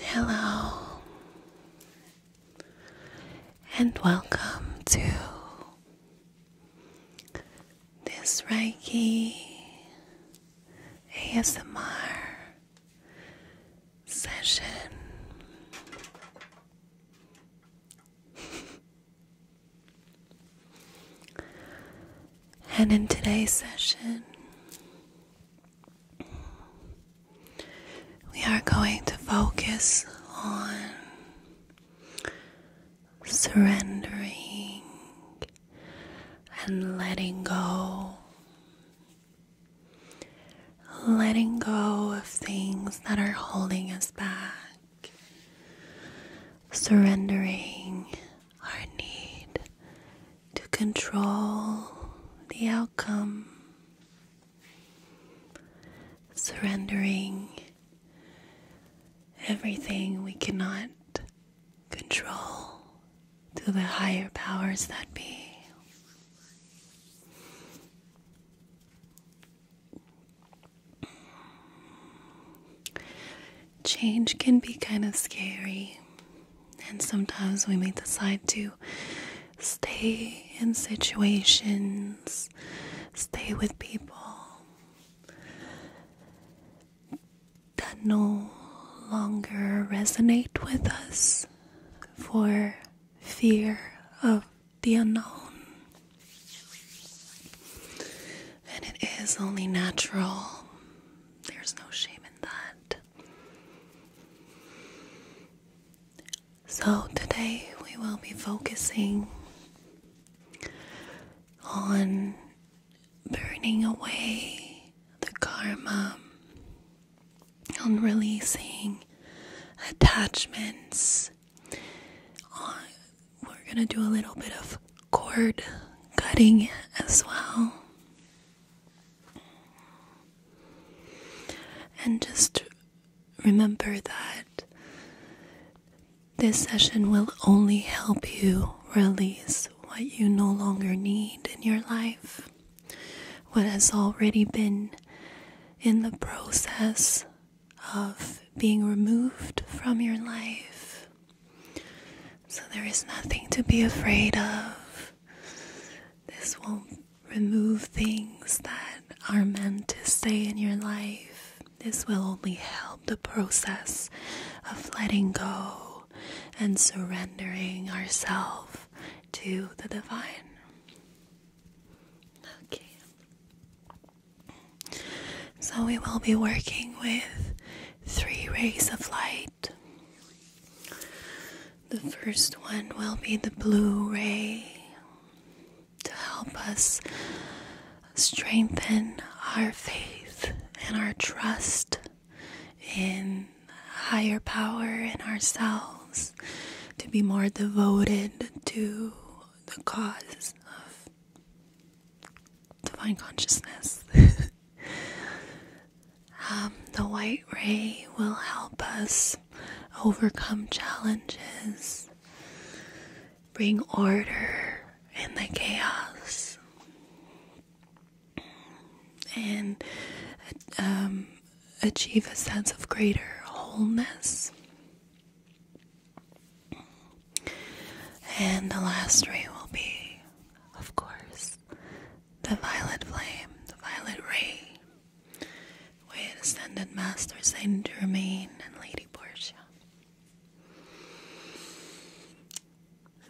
Hello, and welcome to this Reiki ASMR session. And in today's session, we are going to focus on surrendering and letting go. Letting go of things that are holding us back surrendering our need to control the outcome, surrendering everything we cannot control to the higher powers that be. Change can be kind of scary, and sometimes we may decide to stay in situations, stay with people that no longer resonate with us for fear of the unknown. And it is only natural. There's no shame in that. So, today we will be focusing on burning away the karma, on releasing attachments, we're gonna do a little bit of cord cutting as well. And just remember that this session will only help you release what you no longer need in your life, what has already been in the process of being removed from your life. So there is nothing to be afraid of. This will not remove things that are meant to stay in your life. This will only help the process of letting go and surrendering ourself to the divine. Okay. So, we will be working with three rays of light. The first one will be the blue ray to help us strengthen our faith and our trust in higher power in ourselves, to be more devoted to the cause of divine consciousness. Um, the white ray will help us overcome challenges, bring order in the chaos, and um, achieve a sense of greater wholeness. And the last ray will be, of course, the violet flame, the violet ray, with Ascended Master Saint Germain and Lady Portia.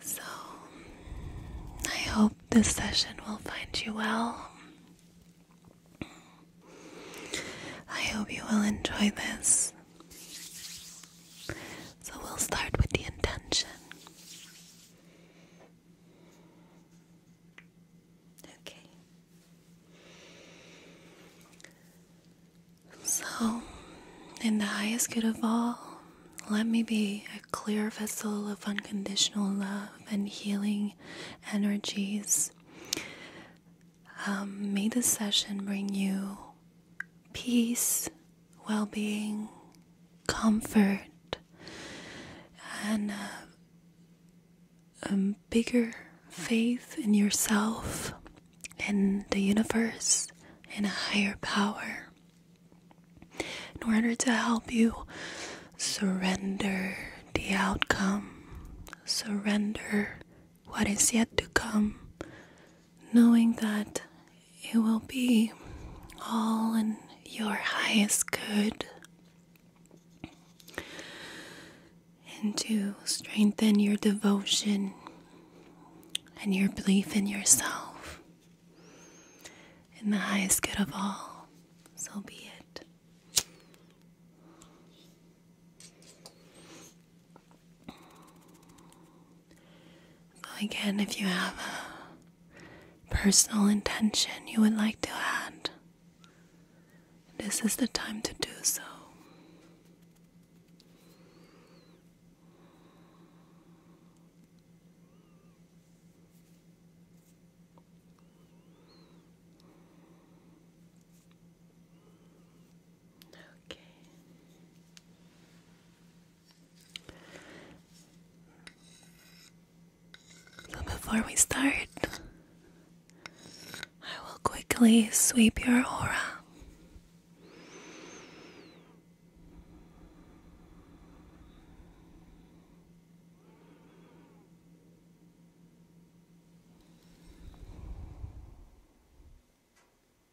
So, I hope this session will find you well. I hope you will enjoy this. So we'll start with the intention. Okay. So, in the highest good of all, let me be a clear vessel of unconditional love and healing energies. Um, may this session bring you peace, well being, comfort, and a, uh, um, bigger faith in yourself, in the universe, in a higher power. In order to help you surrender the outcome, surrender what is yet to come, knowing that it will be all in your highest good. And to strengthen your devotion and your belief in yourself, in the highest good of all, so be it again, if you have a personal intention you would like to add, this is the time to do so. Okay. So before we start, I will quickly sweep your aura.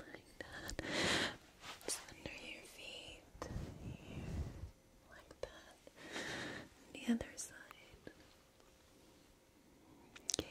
Like that. under your feet. Like that. the other side. Okay.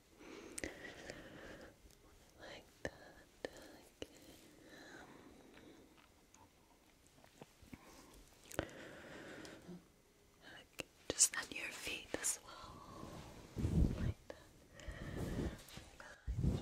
Like that. Okay. Just on your feet as well. Like that. you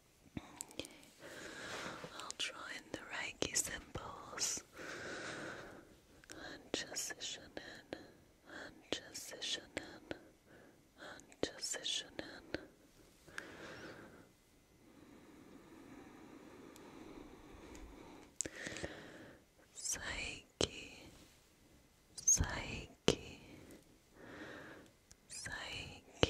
I'll draw in the Reiki symbols and transition in and transition in and transition in. Psyche, psyche, 最近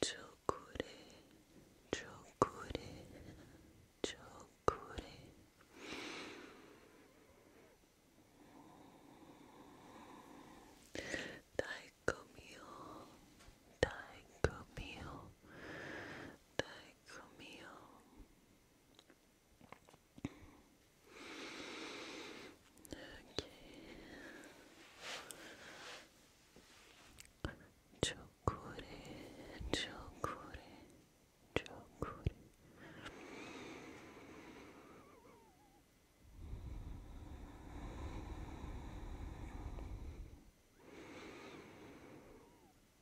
チョコレチョコレチョコレ太鼓みよ太鼓みよ太鼓みよ「Chokure, chokure, chokure.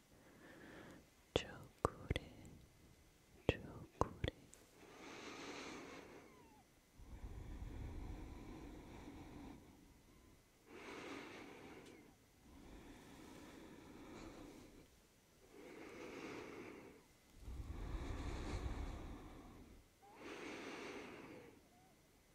Chokure, chokure.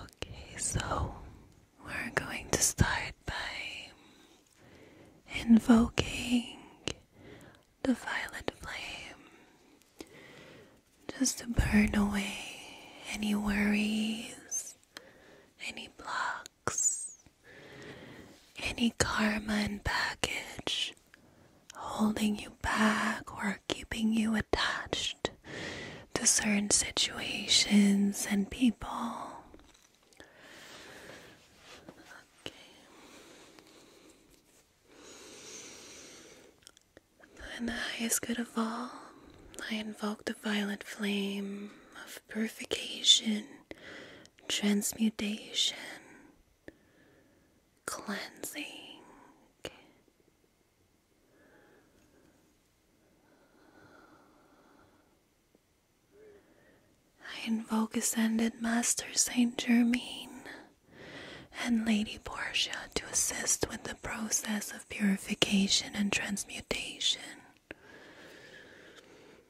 Okay, so we're going to start by invoking the violet flame just to burn away any worries, any blocks any karma and baggage holding you back or keeping you attached to certain situations and people. Okay. Then, highest good of all, I invoke the violet flame of purification, transmutation, cleansing. I invoke Ascended Master Saint Germain and Lady Portia to assist with the process of purification and transmutation.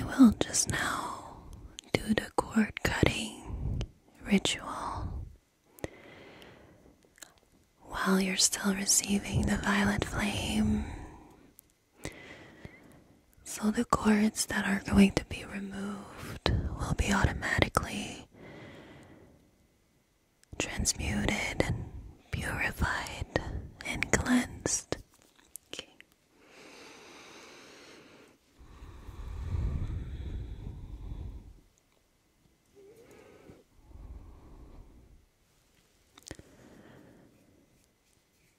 I will just now do the cord cutting ritual while you're still receiving the violet flame so the cords that are going to be removed will be automatically transmuted and purified and cleansed.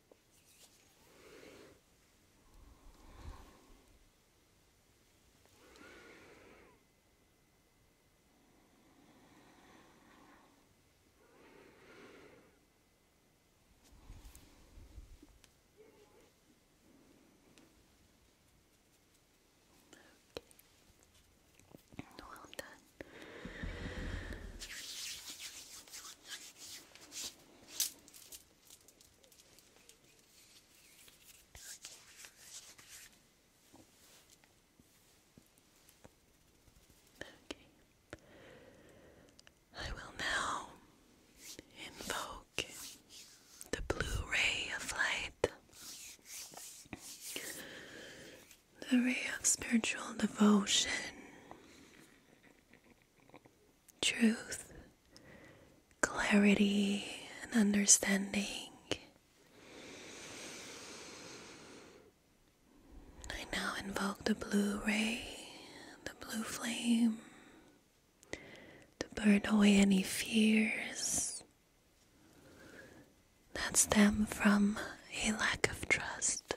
Okay. Well done. I will now invoke the blue ray of light, the ray of spiritual devotion truth, clarity, and understanding. I now invoke the blue ray, the blue flame, to burn away any fears that stem from a lack of trust.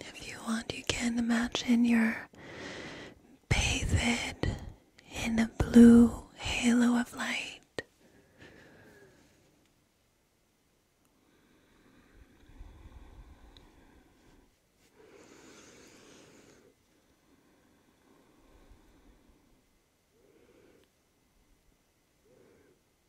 If you want, you can imagine you're bathed in a blue halo of light.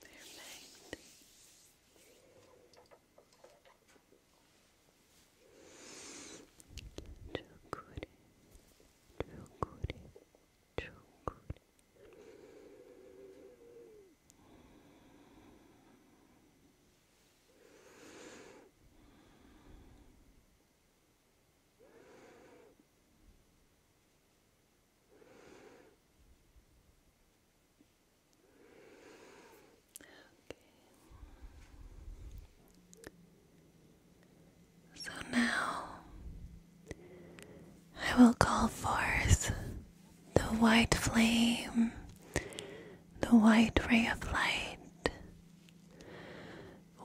Perfect. Chukuri, chukuri, chukuri. Perfect. So now I will call forth the white flame, the white ray of light,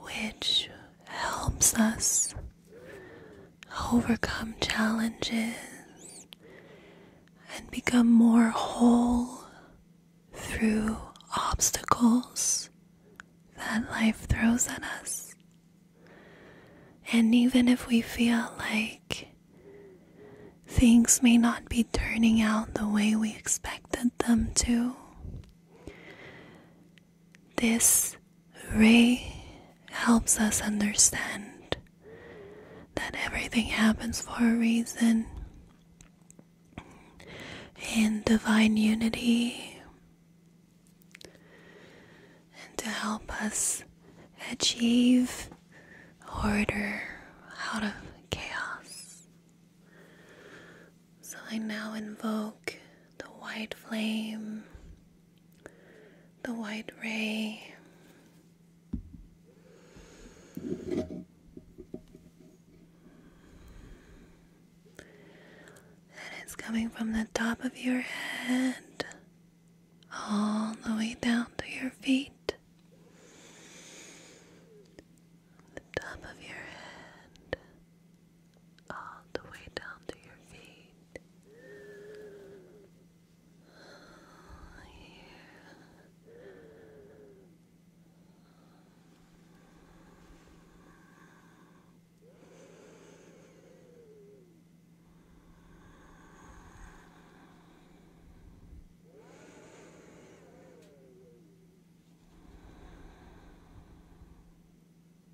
which helps us overcome challenges, and become more whole through obstacles that life throws at us. And even if we feel like things may not be turning out the way we expected them to, this ray helps us understand that everything happens for a reason. In divine unity, and to help us achieve order out of chaos. So I now invoke the white flame the white ray. And it's coming from the top of your head all the way down to your feet. The top of your head, all the way down to your feet. Yeah.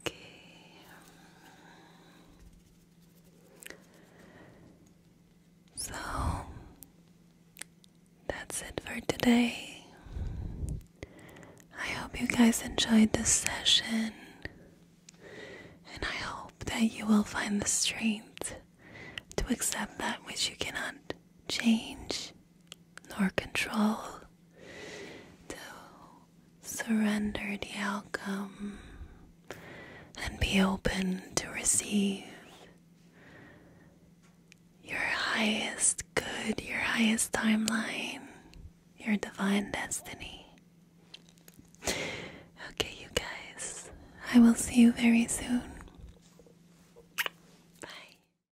Okay. So that's it for today. I hope you guys enjoyed this session, and I hope that you will find the strength to accept that which you cannot change nor control to surrender the outcome and be open to receive your highest good, your highest timeline, your divine destiny. Okay, you guys, I will see you very soon.